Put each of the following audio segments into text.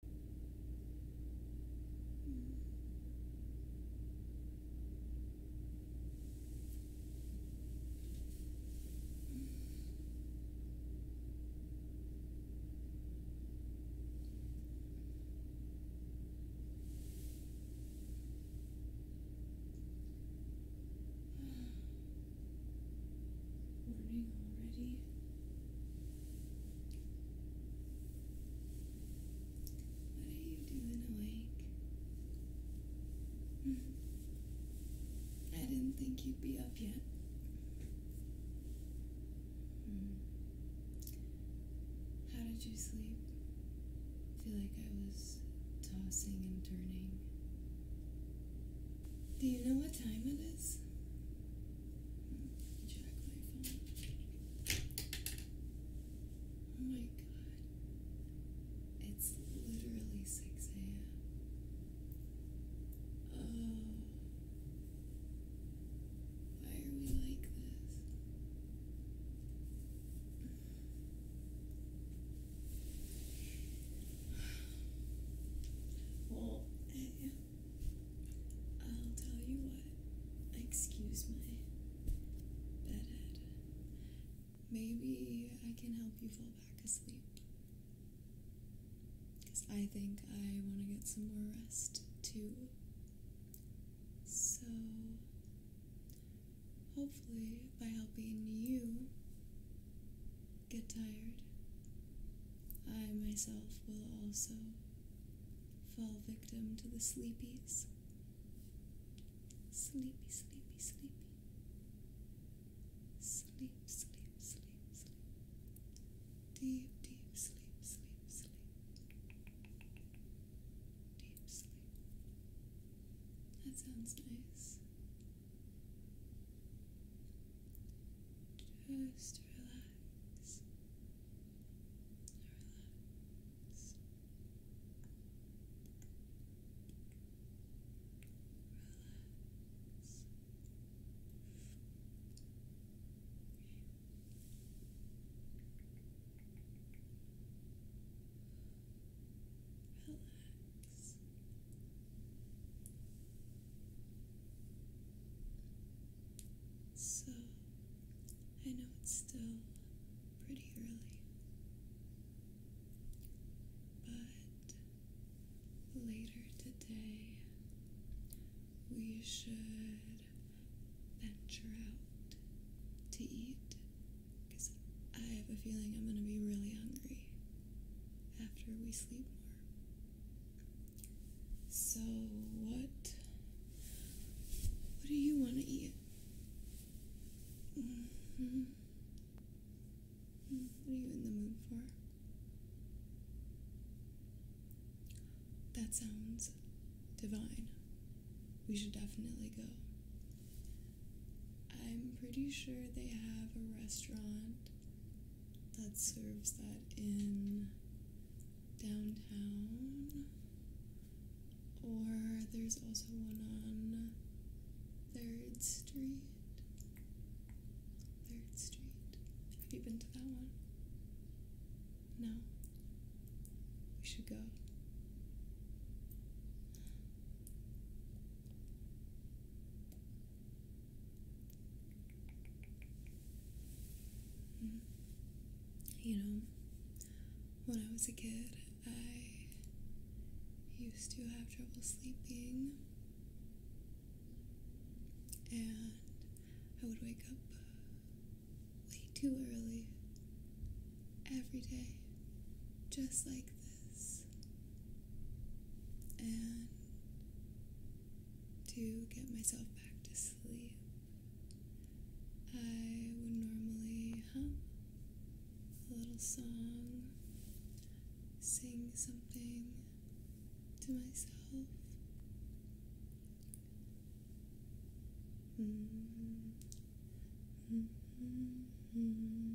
Morning already. What are you doing awake? Hmm. I didn't think you'd be up yet. Hmm. How did you sleep? feel like I was tossing and turning. Do you know what time it is? Jack my phone. Oh my god. It's literally 6 a.m. Oh. Why are we like this? Well, hey. I'll tell you what, excuse my bedhead. Maybe I can help you fall back asleep. Because I think I want to get some more rest too. So, hopefully, by helping you get tired, I myself will also fall victim to the sleepies. Sleepy, sleepy, sleepy. Sleep, sleep, sleep, sleep. Deep, deep sleep, sleep, sleep. Deep sleep. That sounds nice. Just relax relax. Relax. Relax. So I know it's still pretty early, but later today we should venture out to eat because I have a feeling I'm going to be really hungry after we sleep more. So what what do you want to eat? Mm-hmm. Mm, what are you in the mood for? That sounds divine. We should definitely go. I'm pretty sure they have a restaurant that serves that in downtown, or there's also one on Third Street. Third Street. Have you been to that one? No. We should go. You know, when I was a kid, I used to have trouble sleeping, and I would wake up way too early every day, just like this. And to get myself back to sleep. I would normally hum a little song, sing something to myself. Mm-hmm. Mm-hmm. Mm-hmm.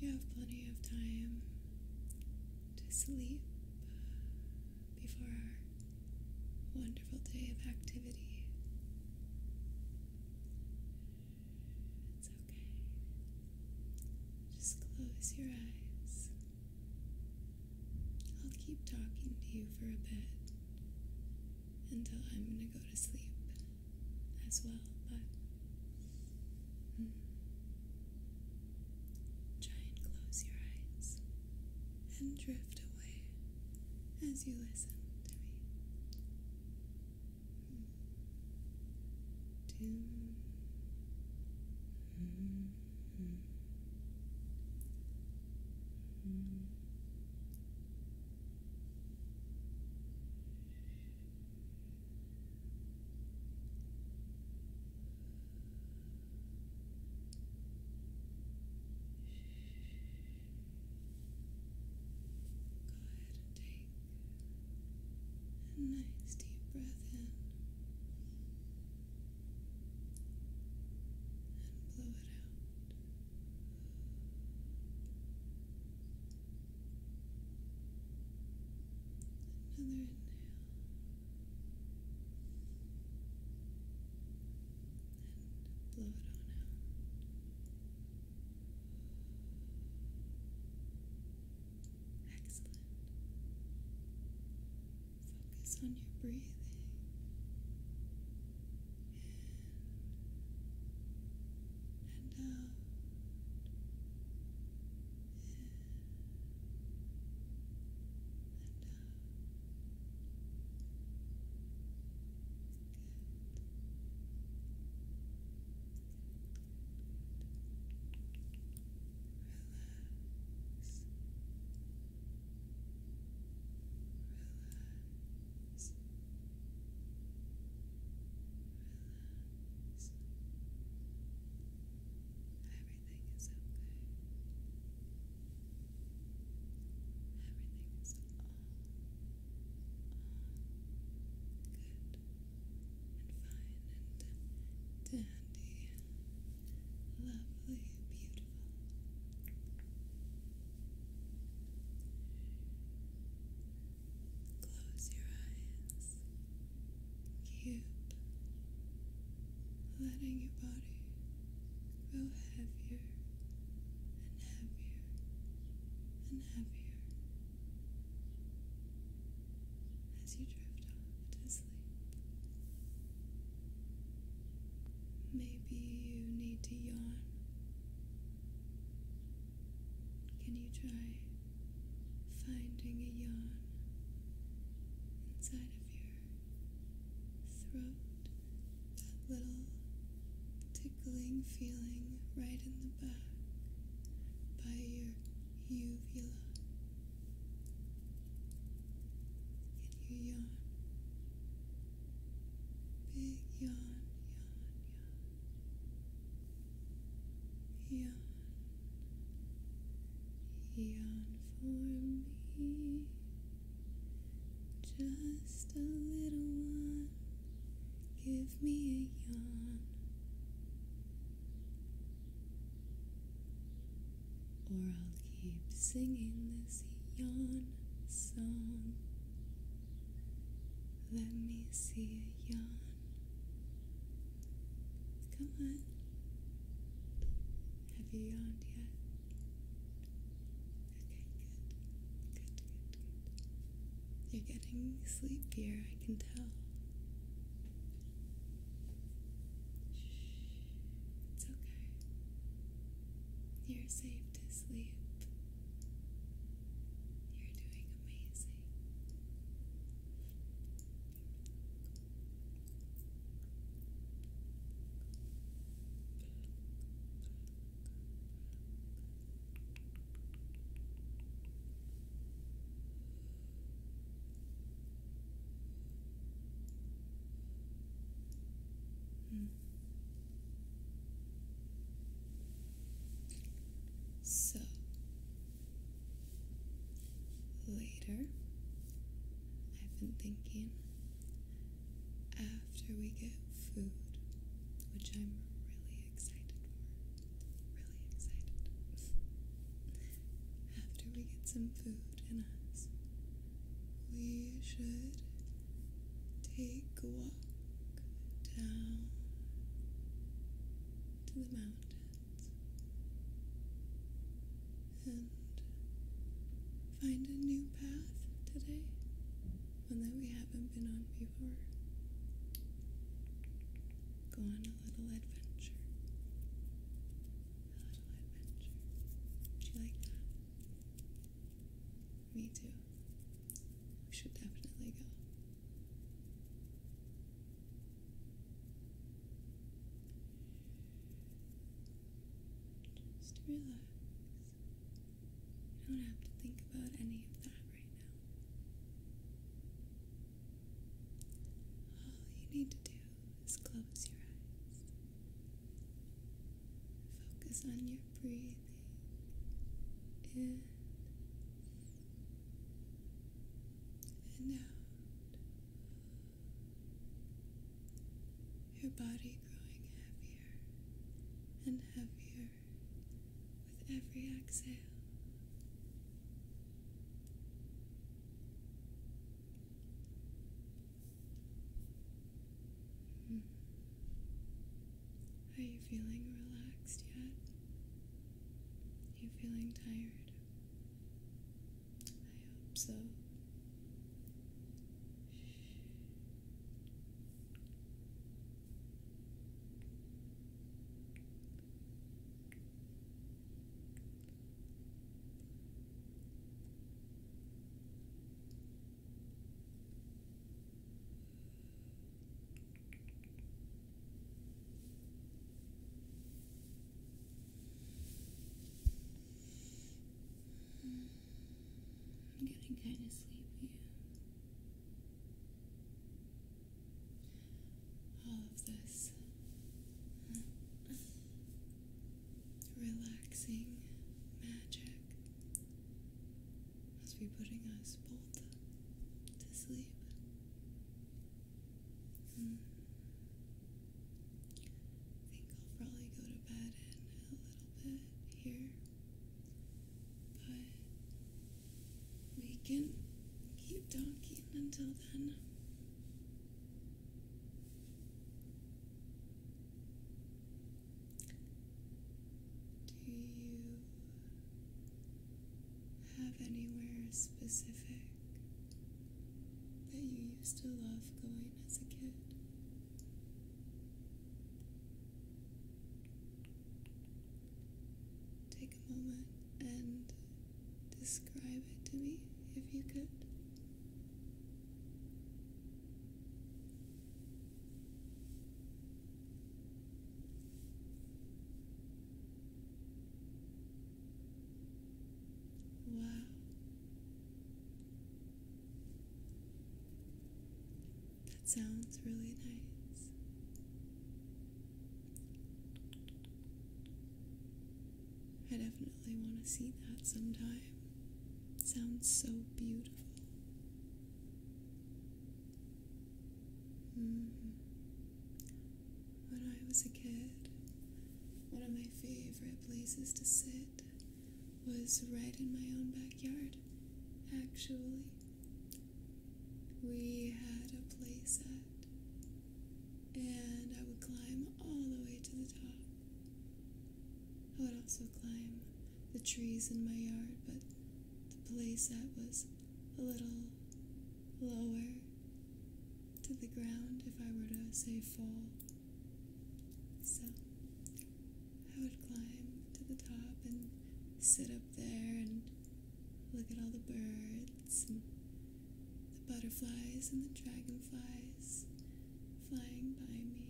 You have plenty of time to sleep before our wonderful day of activity. It's okay. Just close your eyes. I'll keep talking to you for a bit until I'm going to go to sleep as well, but. Hmm. try and close your eyes and drift away as you listen to me. Mm. Doom. Hmm. Hmm. Mm. Mm. Go ahead and take a nice deep breath in and blow it out. Another inhale. And blow it on out. Excellent. Focus on your breathing. In and out. Relax. Relax relax, relax. Everything is okay. Everything is all, all good and fine and dandy. Lovely, beautiful. Close your eyes. Keep letting your body go heavier and heavier and heavier as you drift off to sleep. Maybe you need to yawn. Can you try finding a yawn inside of your throat? That little tickling feeling right in the back by your uvula and you yawn. Big yawn, yawn, yawn. Yawn, yawn for me. Just a little one. Give me a yawn. Or I'll Keep singing this yawn song. Let me see a yawn. Come on. Have you yawned yet? Okay, good. Good, good, You're getting sleepier, I can tell. it's okay. You're safe to sleep. You're doing amazing. Mm. So later, I've been thinking after we get food, which I'm really excited for, really excited. after we get some food in us, we should take a walk down to the mountains and find a new path today, one that we haven't been on before. Go on a little adventure. A little adventure. Would you like that? Me too. We should definitely go. Just relax. You don't have to think about any of that right now. All you need to do is close your eyes Focus on your breathing in and out. Your body growing heavier and heavier with every exhale. Hmm. Are you feeling relaxed yet? Are you feeling tired? I hope so. I'm getting kind of sleepy. All of this relaxing magic must be putting us both to sleep. I hmm. think I'll probably go to bed in a little bit here, but we can keep talking until then. Do you have anywhere specific that you used to love going as a kid? Take a moment and describe it to me if you could. Wow. That sounds really nice. I definitely want to see that sometime. sounds so beautiful. Mm-hmm. When I was a kid, one of my favorite places to sit was right in my own backyard, actually. We had a playset, and I would climb all the way to the top. I would also climb the trees in my yard, but the place that was a little lower to the ground if I were to say fall. So I would climb to the top and sit up there and look at all the birds and the butterflies and the dragonflies flying by me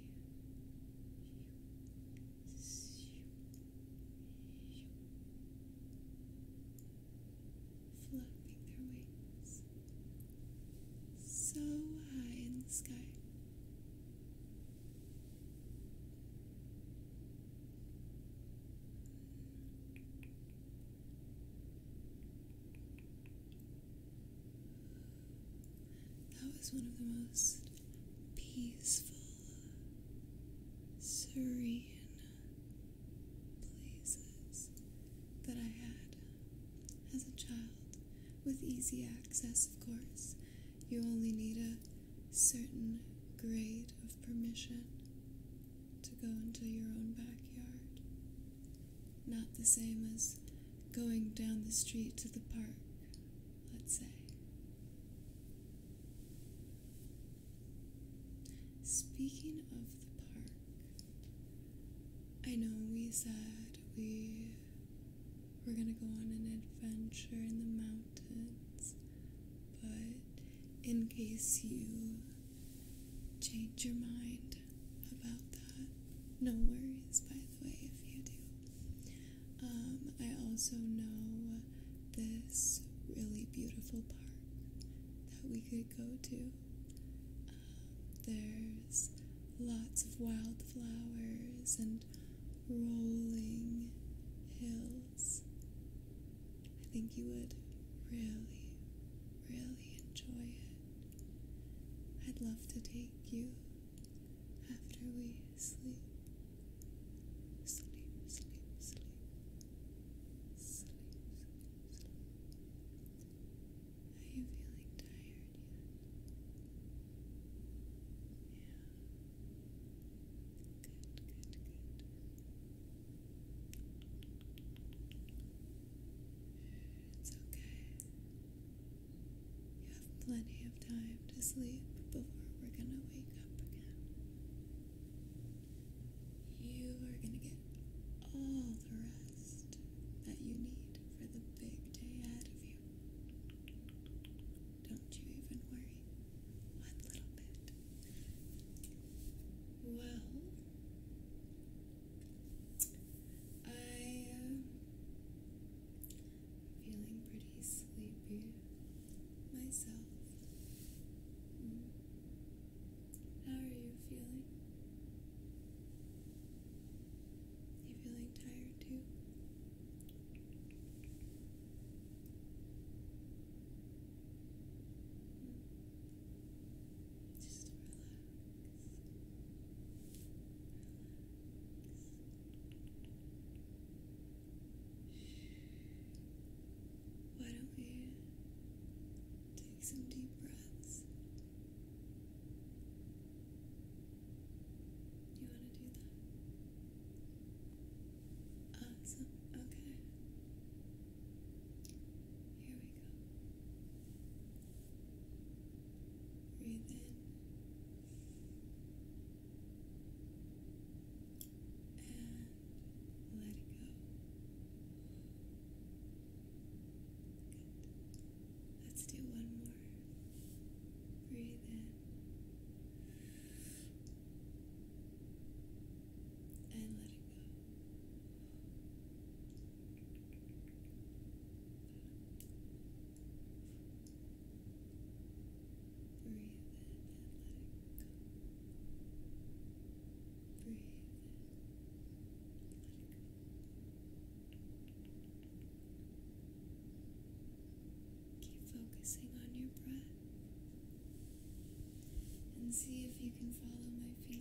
flapping their wings so high in the sky. That was one of the most peaceful, serene places that I had as a child, with easy access, of course. You only need a certain grade of permission to go into your own backyard. Not the same as going down the street to the park let's say. Speaking of the park, I know we said we we're going to go on an adventure in the mountains, but in case you change your mind about that, no worries, by the way, if you do. Um, I also know this really beautiful park that we could go to. Um, there's lots of wildflowers and rolling hills. I think you would really, really enjoy it. I'd love to take you after we sleep. Sleep, sleep, sleep. Sleep, sleep, Are you feeling tired Yeah. Good, good, good. It's okay. You have plenty of time to sleep before we're going to wake up again. You are going to get all the rest that you need for the big day ahead of you. Don't you even worry one little bit. Well, I um, feeling pretty sleepy myself. Mm. How are you feeling? You feeling tired too? Mm. Just Relax. Why don't we take some deep breaths? You want to do that? Awesome. Okay. Here we go. Breathe in. And let it go. Good. Let's do one more. Breathe in. And let it go. Good. Breathe in let it go. Breathe in. Keep focusing on your breath and see if you can follow my finger.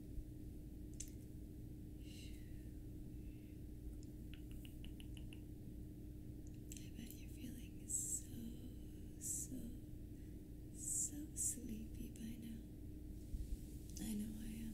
I bet you're feeling so, so, so sleepy by now. I know I am.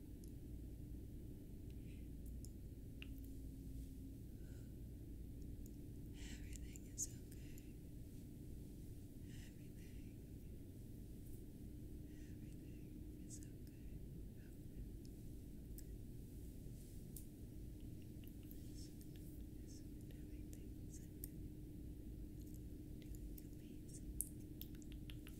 Everything is okay. Everything. Everything is okay. Okay. Listen, everything is okay.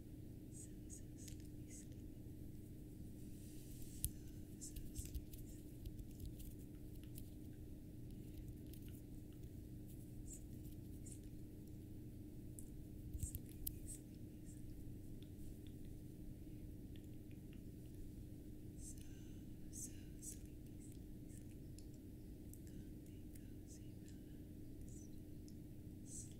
So, so sleepy, sleepy. So, so sleepy, sleepy. Sleepy, sleepy. Sleepy, sleepy, sleepy. So, so sleepy, sleepy, sleepy. Comfy, cozy, relaxed. Sleepy.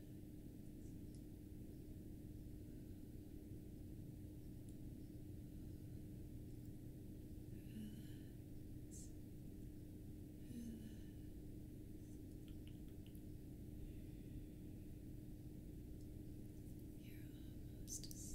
almost asleep. Just relax, relax, relax.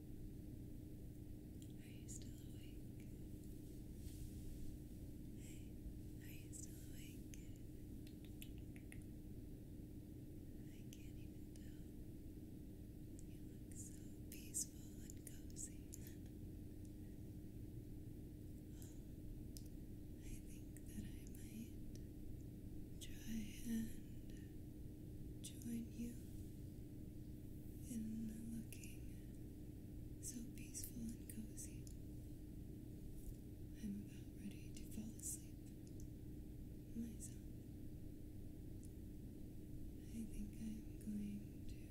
Are you still awake? Hey, are you still awake? I can't even tell. You look so peaceful and cozy. well, I think that I might try and join you and looking so peaceful and cozy. I'm about ready to fall asleep myself. I think I'm going to lay down.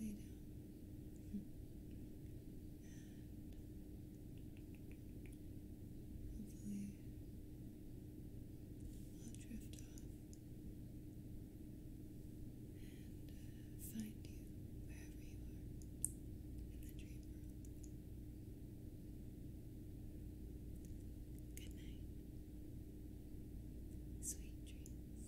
And hopefully, I'll drift off and find you wherever you are in the dream world. Good night. Sweet dreams.